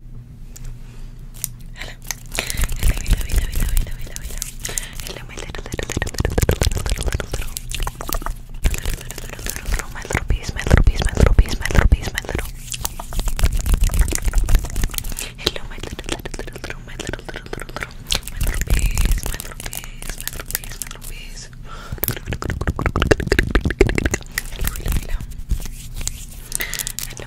Hello. Hello, hello, hello, hello, hello, hello, hello. Hello, my little, little, little, little, little, little, little, little, little, little, little, little, little, my little piece, my little piece, my little piece, my little piece, my little. Hello, my little, little, little, little, my little, little, little, little, my little piece, my little piece, my little piece, my little piece. Hello, hello, hello. Hello,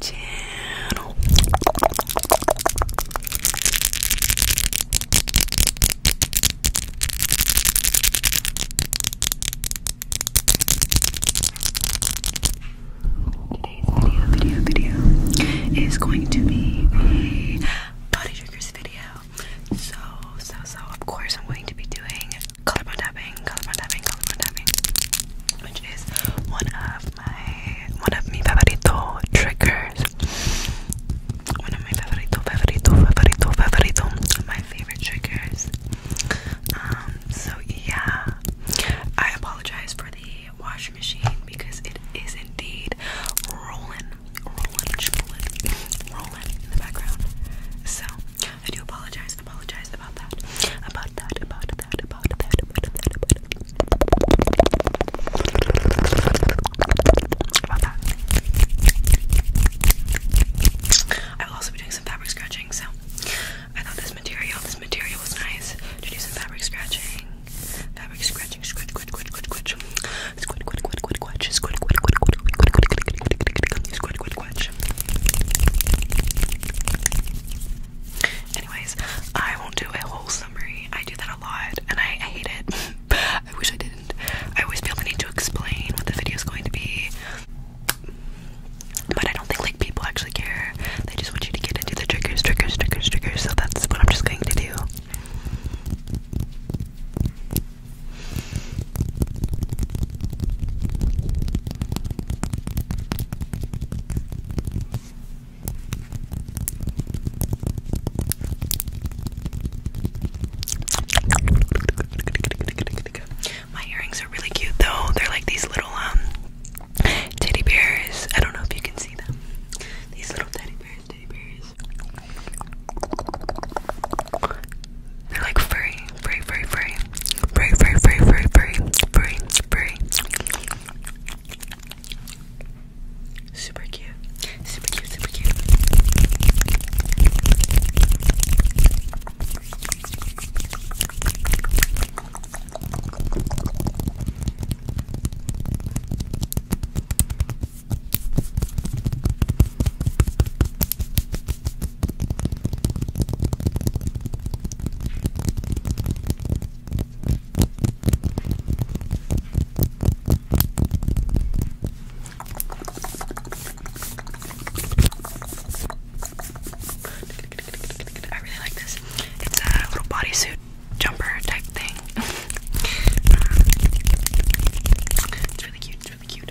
channel. Today's video, video, video is going to be a body triggers video. So, so, so, of course, I'm going to be doing color by tapping, color by tapping, color by tapping, which is one of my one of my favorito triggers. One of my favorito, favorito, favorito, favorito, my favorite triggers. Um, so yeah, I apologize for the washing machine because it is indeed rolling, rolling, rolling, rolling in the background. So I do apologize guys apologize about that. About that, about that, about that, about that, about that. About that. I will also be doing some fabric scratching, so I thought this material, this material was nice to do some fabric scratching. Fabric scratching, scratch, scratch, scratch, scratch, scratch, scratch, scratch, scratch, scratch, scratch, Anyways, I won't do a whole summary. I do that a lot and I, hate it. I wish I didn't. I always feel the need to explain what the video is going to be. But I don't think like people actually care. They just want you to get into the triggers, triggers, triggers, triggers. So that's what I'm just going to do. My earrings are really cute though. They're like these little um, teddy bears. I don't know if you can see them. These little teddy bears, teddy bears. They're like furry free, free, free, free, free, free, free, free, free, Super cute, super cute, super cute. I really like this. It's a little bodysuit jumper type thing. it's really cute. It's really cute.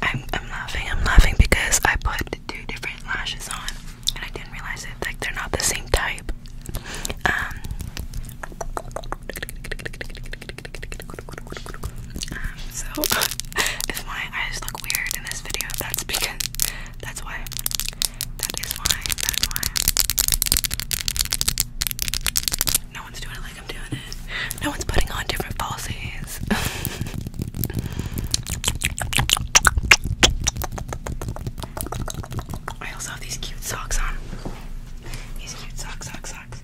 I'm I'm laughing, I'm laughing because I put two different lashes on and I didn't realize it, like they're not the same type. Um, um, so if my eyes look weird in this video, that's because that's why. That is why. That is why. No one's doing it like I'm doing it. No one's putting on different falsies. I also have these cute socks on. These cute socks socks.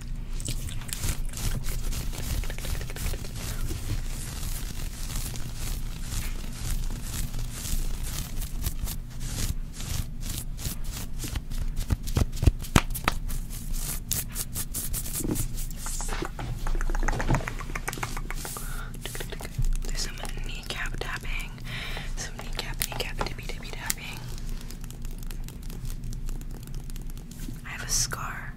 There's some kneecap tapping, some kneecap, kneecap, tippy tippy tapping. I have a scar.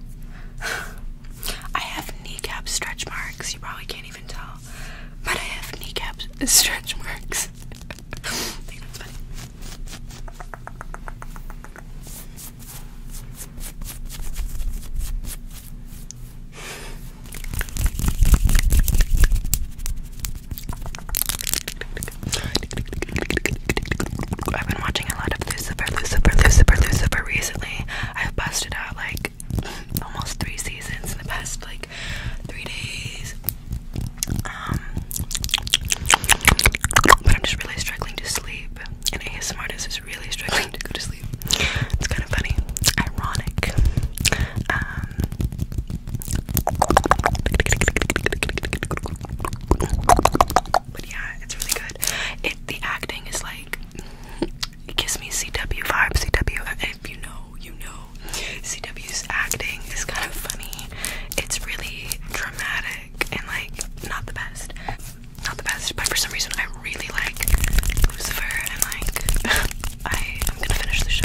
I have kneecap stretch marks. You probably can't even tell. But I have kneecap stretch marks. that's funny. I've been watching a lot of Lucifer, Lucifer, Lucifer, Lucifer recently. I've busted out like almost three seasons in the past like three days. Um, but I'm just really struggling to sleep, and ASMR artist is really struggling to go to sleep. It's kind of funny, ironic. Um, but yeah, it's really good. It the acting is like it gives me CW vibes. CW, if uh, you know, you know. CW's acting is kind of funny. It's really dramatic and like not the best, not the best. But for some reason, I really like Lucifer and like I am gonna finish the show.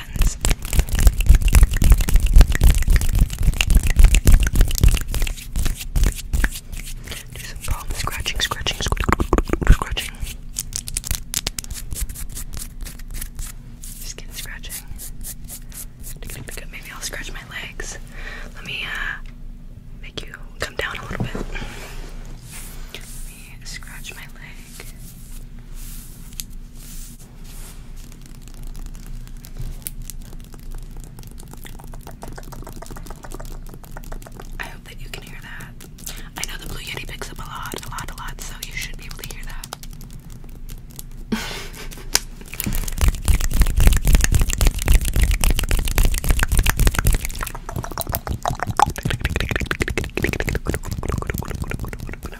buttons. Do some palm scratching, scratching, scratching. Skin scratching. Maybe I'll scratch my legs. Let me uh, make you come down a little bit. Let me scratch my leg. I hope that you can hear that. I know the Blue Yeti picks up a lot, a lot, a lot, so you should be able to hear that.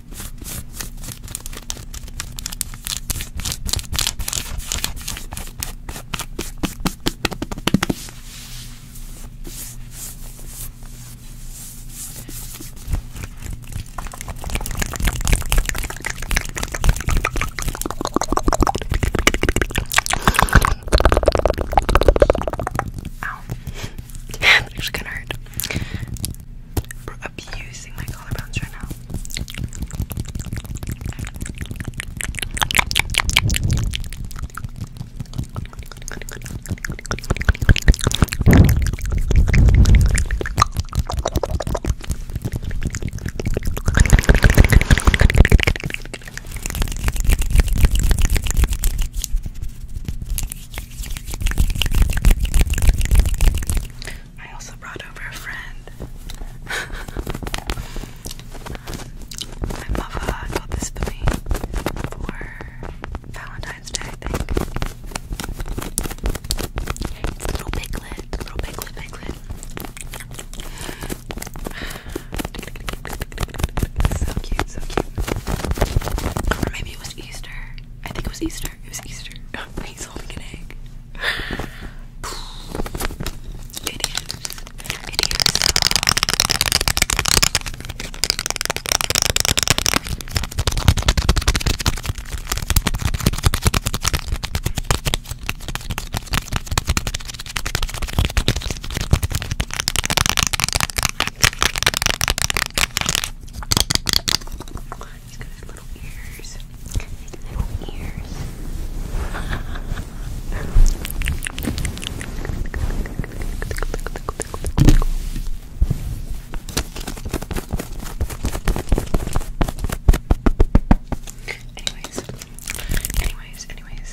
Ow. That actually kinda hurt. We're abusing my collarbones right now. I also brought over a friend. My mama got this for me for Valentine's Day, I think. little piglet, little piglet, piglet. So cute, so cute. Or maybe it was Easter. I think it was Easter. It was Easter. He's holding an egg. It is. It is. He's got his little ears. His little ears. anyways, anyways, anyways,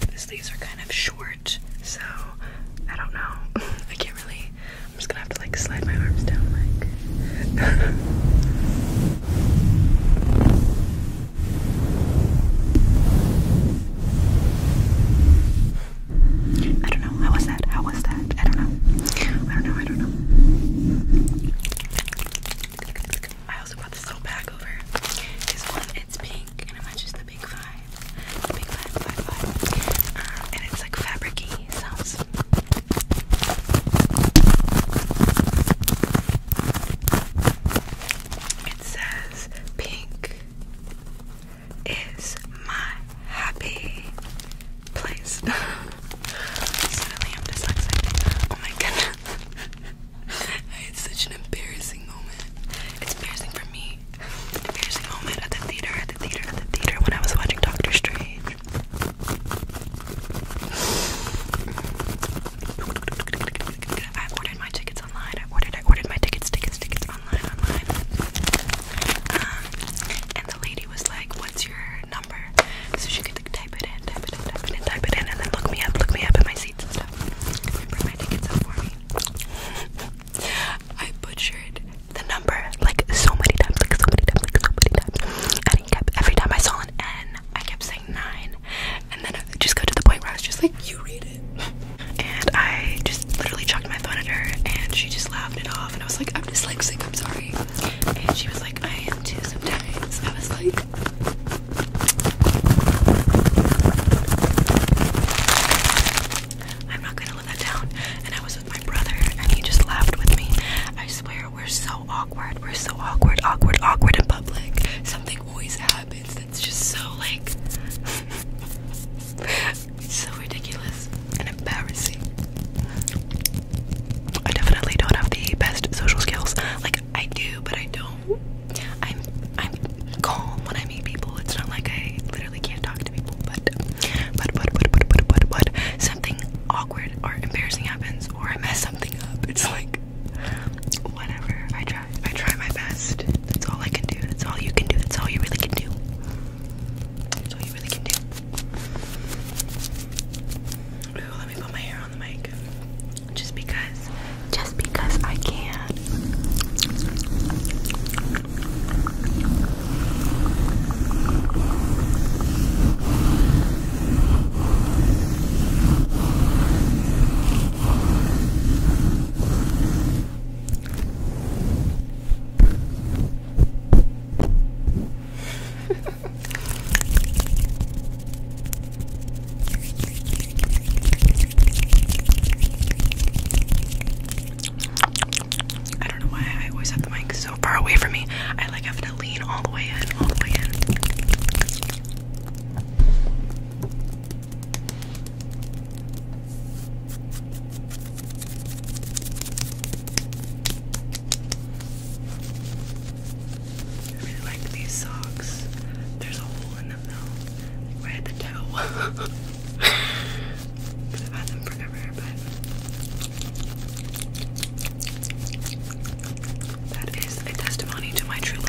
The sleeves are kind of short, so I don't know. I can't really. I'm just gonna have to like slide my arms down, like. I don't know. How was that? How was that? I don't know. I don't know. I don't know. I also brought this little bag over. This one, it's pink, and it matches the big five. big five, five, five. Uh, and it's like fabricy It says pink is my happy place. Suddenly I'm dyslexic. Oh my goodness. it's such an embarrassing moment. It's embarrassing for me. Embarrassing moment at the theater, at the theater, at the theater when I was watching Doctor Strange. I ordered my tickets online. I ordered, I ordered my tickets, tickets, tickets online, online. Um, and the lady was like, "What's your number?" So she could type it in, type it in, type it in, type it in, and then look me up, look me up in my seat. I butchered the number like so many times, like so many times, like so many times. every time I saw an N, I kept saying nine. And then just got to the point where I was just like, you read it. And I just literally chucked my phone at her and she just laughed it off and I was like, I'm just like sick. I'm sorry. And she was like, I am too sometimes. I was like, I'm not gonna let that down. And I was with my brother, and he just laughed with me. I swear, we're so awkward. We're so awkward, awkward, awkward in public. Something always happens that's just so like so ridiculous and embarrassing. I definitely don't have the best social skills. Like I do, but I don't. I'm I'm calm when I meet people. It's not like I literally can't talk to people, but but but but but but but, something awkward or embarrassing happens or I mess something up. It's like whatever. I try. I try my best. That's all I can do. That's all you can do. That's all you really can do. That's all you really can do. let me put my hair just because just because I can I don't know why I always have the mic so far away from me. I like having to lean all the way in, all the way in. I really like these socks. There's a hole in them though, right at the toe. Because I've had them forever, but that is a testimony to my true love.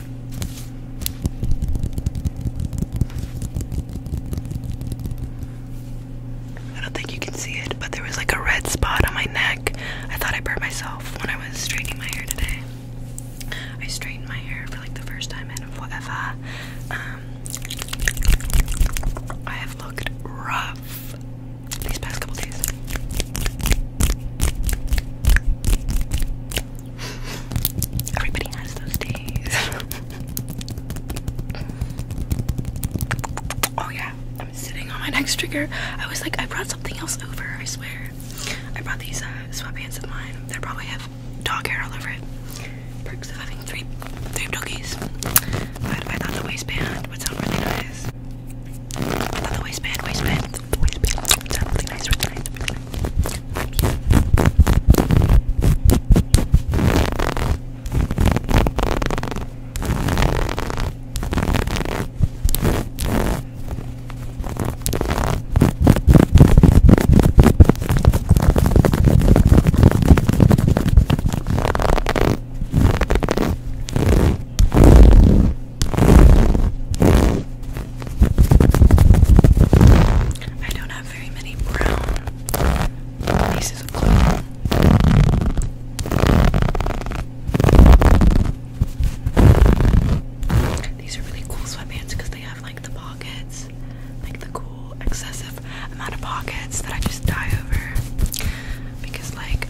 I don't think you can see it, but there was like a red spot on my neck. I thought I burned myself when I was straightening my hair today. I straightened my hair for like the first time in forever. Um, I have looked rough these past couple days. Everybody has those days. oh yeah, I'm sitting on my next trigger. I was like, I brought something else over. I swear, I brought these uh, sweatpants of mine. They probably have dog hair all over it. Perks of having three, three doggies. But I thought the waistband would sound really nice. I thought the waistband, waistband, always be really nice, really nice, really nice. I don't have very many brown pieces of clothing. These are really cool sweatpants because they have like the pockets, like the cool excessive amount of pockets that I just die over. Because like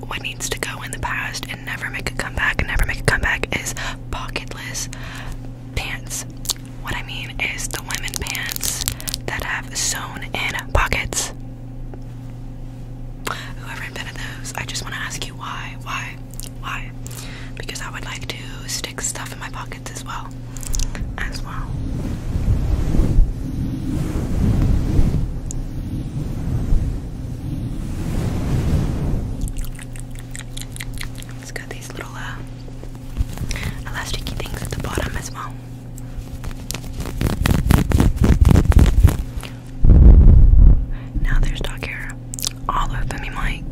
what needs to go in the past and never make a comeback and never make a comeback is pocketless pants. What I mean is the women pants that have sewn in pockets. Whoever invented those, I just want to ask you why, why, why? Because I would like to stick stuff in my pockets as well, as well. It's got these little uh, elastic things at the bottom as well. Now there's dog hair all over me, Mike.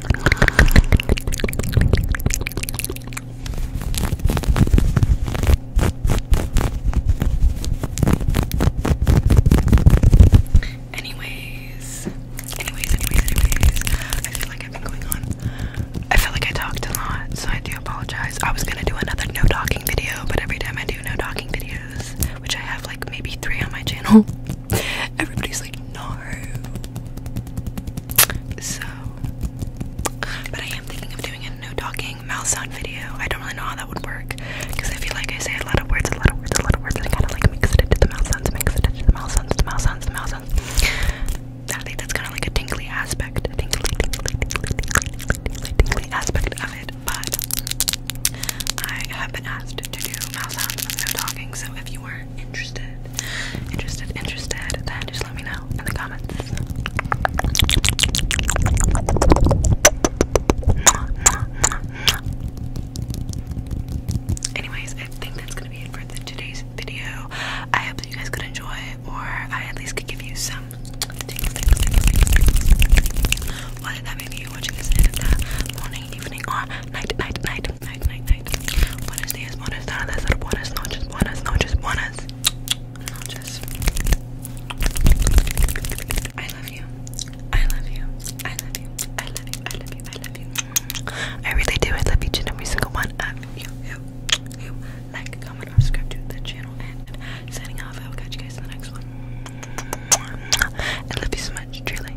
Anyways, anyways, anyways, anyways, I feel like I've been going on. I feel like I talked a lot, so I do apologize. I was gonna do another no talking video, but every time I do no talking videos, which I have like maybe three on my channel, everybody's like, no. So, but I am thinking of doing a no talking mouth sound video. I don't really know how that would work because I feel like I say a lot of words, a lot of words, a lot of words, and I kind of like mix it into the mouth sounds, mix it into the mouth sounds, the mouth sounds, the mouth sounds. I think that's kind of like a tingly aspect, a tingly, tingly, tingly, tingly, tingly, tingly aspect of it. But I have been asked to do mouth sounds with no talking, so if interested, interested, interested, then just let me know in the comments. Anyways, I think that's gonna be it for today's video. I hope you guys could enjoy, or I at least could give you some. Whether that may be you watching this in the morning, evening, or night, night, night night, night, night. Buenos días, buenas tardes, buenas noches, buenas noches, buenas I love you. I love you. I love you. I love you. I love you. I love you. Mm. I really do. I love each and every single one of you. You, you. Like, comment, subscribe to the channel, and signing off. I will catch you guys in the next one. I love you so much, truly.